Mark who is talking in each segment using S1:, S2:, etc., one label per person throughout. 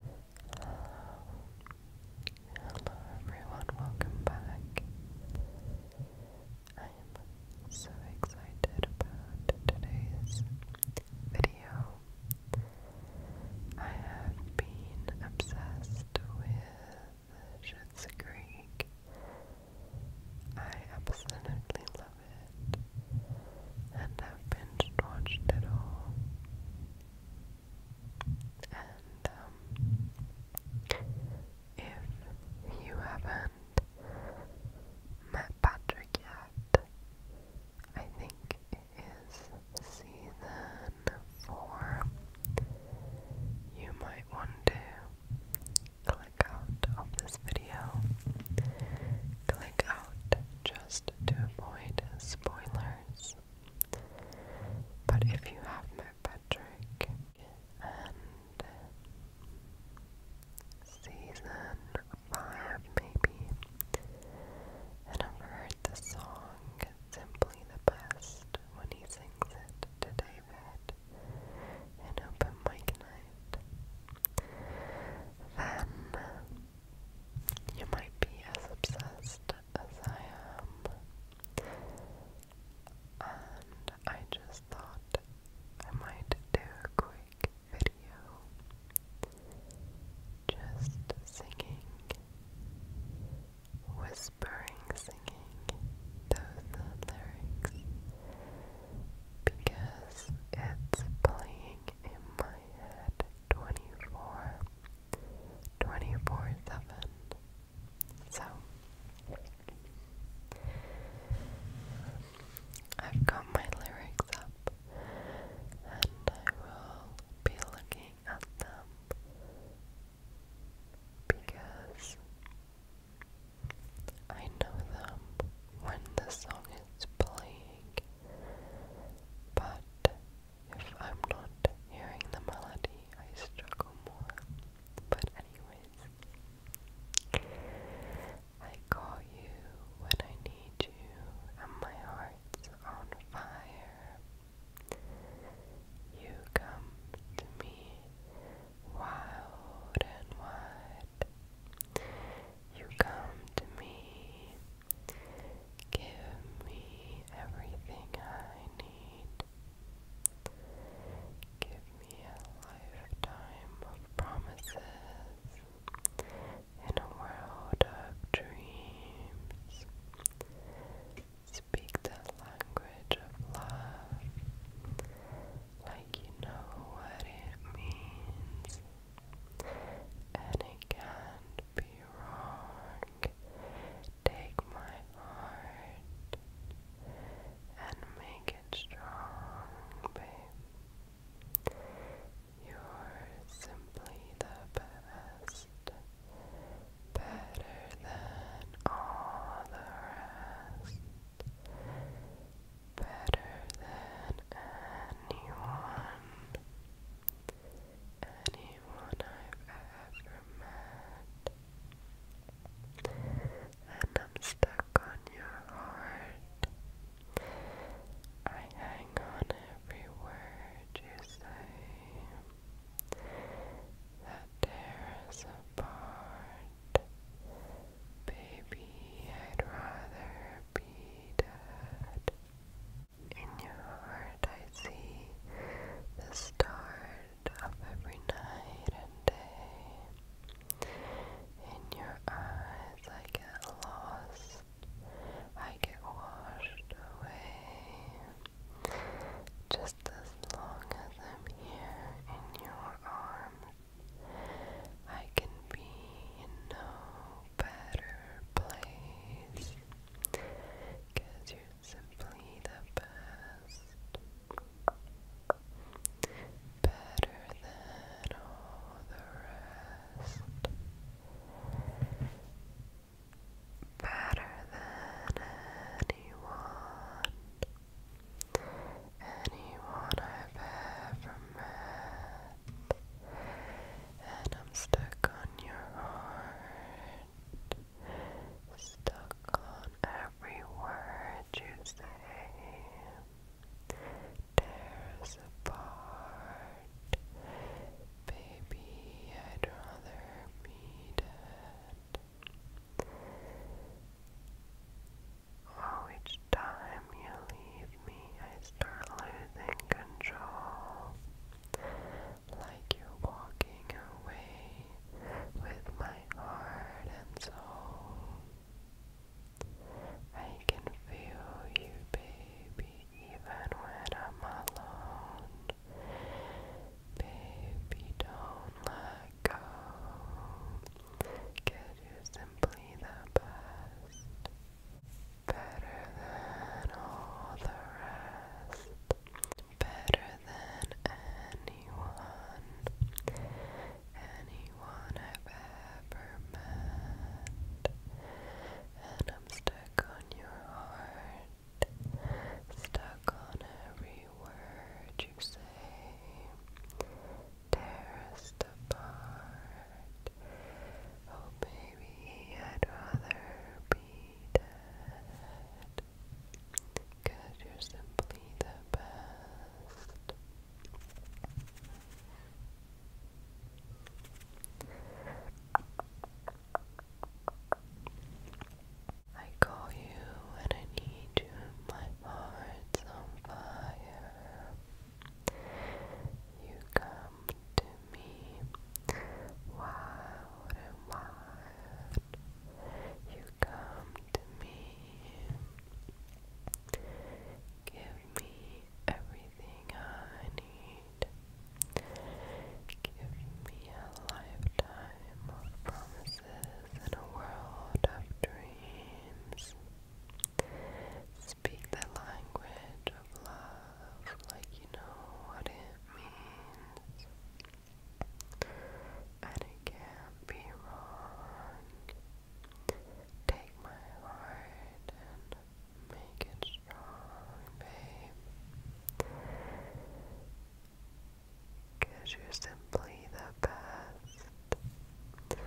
S1: Hello everyone, welcome back. I am so excited about today's video. I have been obsessed with Schitt's Creek. I absolutely love it and I've binge watched it all. Um, if you haven't met Patrick yet, I think it is season four. You might want to click out of this video, click just to avoid spoilers. But if you have met Patrick and season five maybe, and I've heard the song Simply the Best when he sings it to David in open mic night, then you might be as obsessed as I am. And I just thought I might do a quick video just singing, whispering, singing those lyrics because it's playing in my head 24 7 so I've got my lyrics up and I will be looking at them because I know them when the song is playing but if I'm not hearing the melody, I struggle more. But anyways, I call you when I need you, and my heart's on fire. You come to me wild and wide. You come to me. Give me everything I need. Give me a lifetime of promises in a world of dreams. Speak the language of love like you know what it means and it can't be wrong. Take my heart and make it strong, babe. You're simply the best, better than all the rest better than anyone, anyone I've ever met. And I'm stuck on your heart. I hang on every word you say. That tear us apart. Baby, I'd rather repeated. In your heart I see the start of every night and day. In your eyes I get lost,
S2: I get washed away. Just as long as I'm here in your arms, I can be in no better place, cause you're simply the best, better than all the rest. Better than anyone, anyone I've ever met, and I'm stuck on your heart, stuck on every word you say, tears apart, baby, I'd rather be dead. Oh, each time you leave me, I start losing control. Like you're walking away with my heart and soul. I can feel you, baby, even when I'm alone. Baby, don't let go you're simply the best. Better than all the rest. Better than anyone. Anyone I've ever met. And I'm stuck on your heart. Stuck on every word you say tears apart. Oh, baby, I'd rather be dead. you you're simply the best. I call you when I need you heart's on fire. You come to me wild and wild. You come to me. Give me everything I need. Give me a lifetime of promises voices in a world of dreams. Speak the language of love like you know what it means. And it can't be wrong. Take my heart and make it strong, babe. Cause you're simply the best,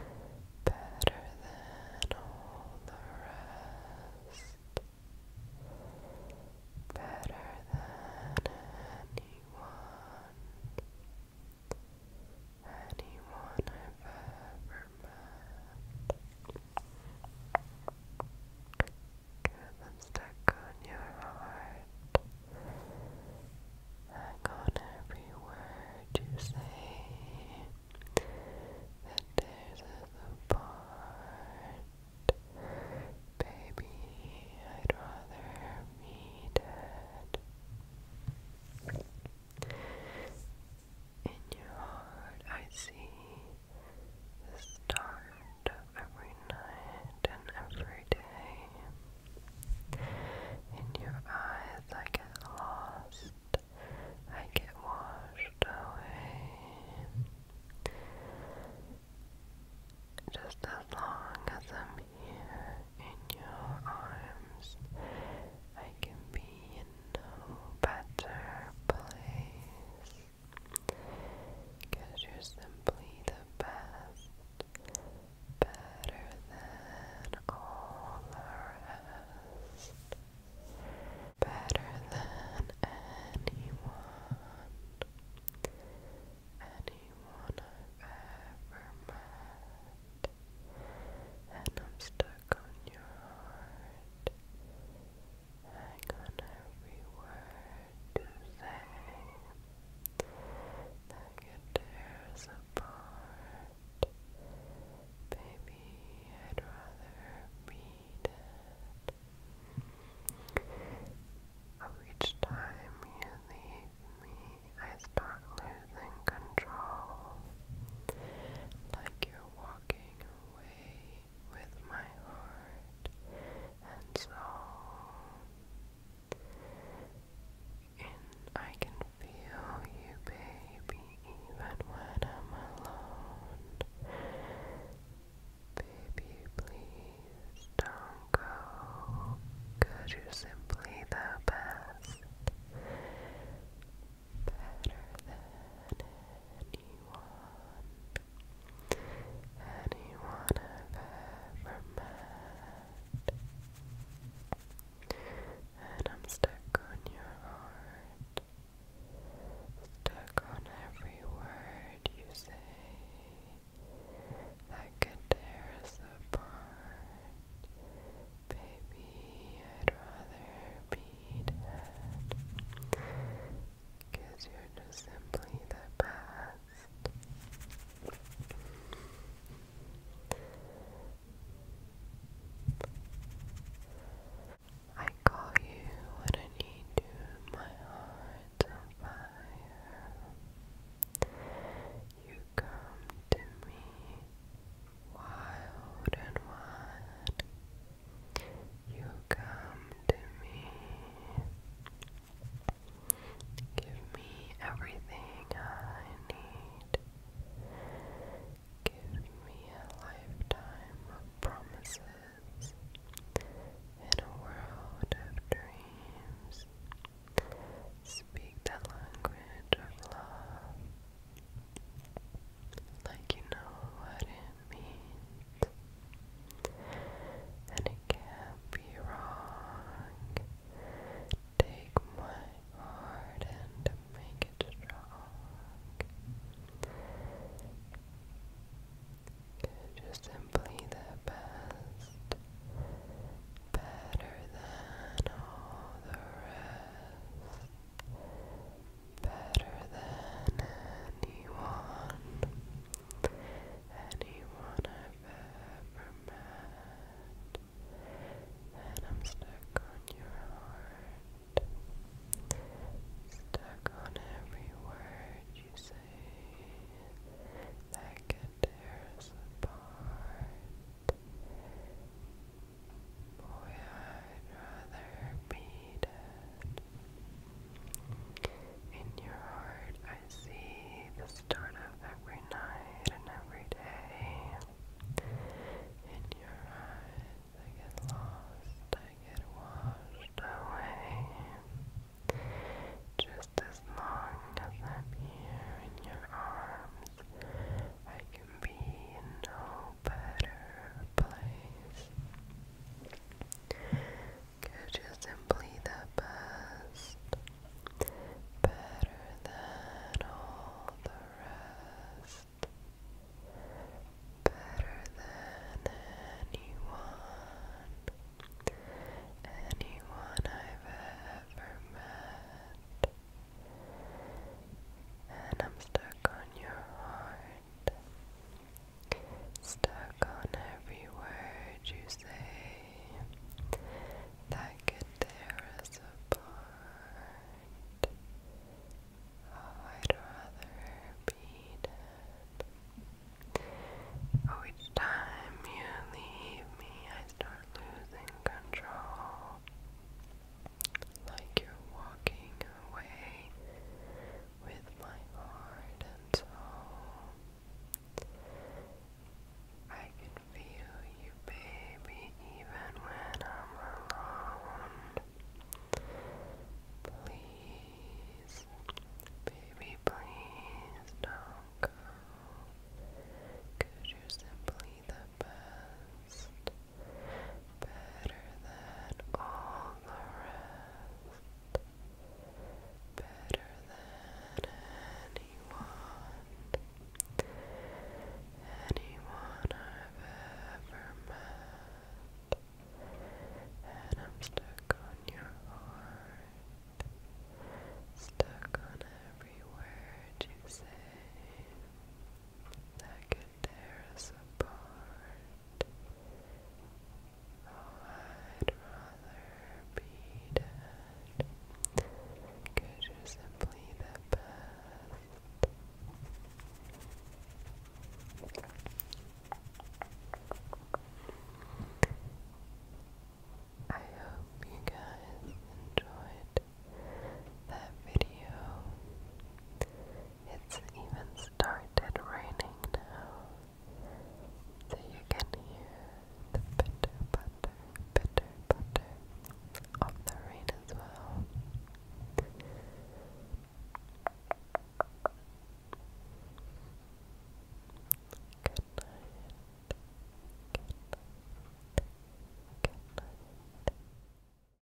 S2: better than all the rest, better than anyone, anyone I've ever met. Cause I'm on your heart. Back on every word you say that there's a part Baby, I'd rather be dead In your heart I see the start every night and every day. In your eyes, I get lost, I get washed away. Just as long as I'm here in your arms, I can be in no better place. Cause you're simply the best better than all the rest, better than anyone, anyone I've ever met, and I'm stuck on your heart. Hang on every word to say that you tear us apart. Baby, I'd rather be dead. Of each time you leave me, I start losing control. Like you're walking away with my heart and soul. And I can feel you, baby, even when I'm alone. Baby, please don't go. you you're simply the best. Better than anyone anyone I've ever met. And I'm stuck on your heart, stuck on every word you say that could tear us apart. Baby, I'd rather be dead. you you're just simply the past I call you when I need you, my heart's on fire. You come to me wild and wide. You come to me Give me everything I need. Give me a lifetime of promises in a world of dreams. Speak the language of love like you know what it means. And it can't be wrong. Take my heart and make it strong. Just simply the best, better than all the rest, better than anyone anyone I've ever met. And I'm stuck on your heart. Stuck on every word you say that could us apart. Boy, I'd rather be in your heart, I see the start of every night and every day. In your eyes, I get lost, I get washed away. Just as long as I'm here in your arms, I can be in no better place. Could you simply the best, better than all the rest, better than anyone, anyone I've ever met, and I'm stuck on your heart. Stuck on every word you say that could tear us apart. I'd rather be dead. Oh, each time you leave me, I start losing control. Like you're walking away with my heart and soul. I can feel you, baby, even when I'm alone. Please, baby, please don't go. you you're simply the best better than all the rest, better than anyone, anyone I've ever met. And I'm stuck on your heart, stuck on every word you say. That could there's a part oh, I'd rather be dead you you're simply the best I hope you guys enjoyed that video. It's even started raining now, so you can hear the pitter patter, pitter patter of the rain as well. Good night. Good night. Good night.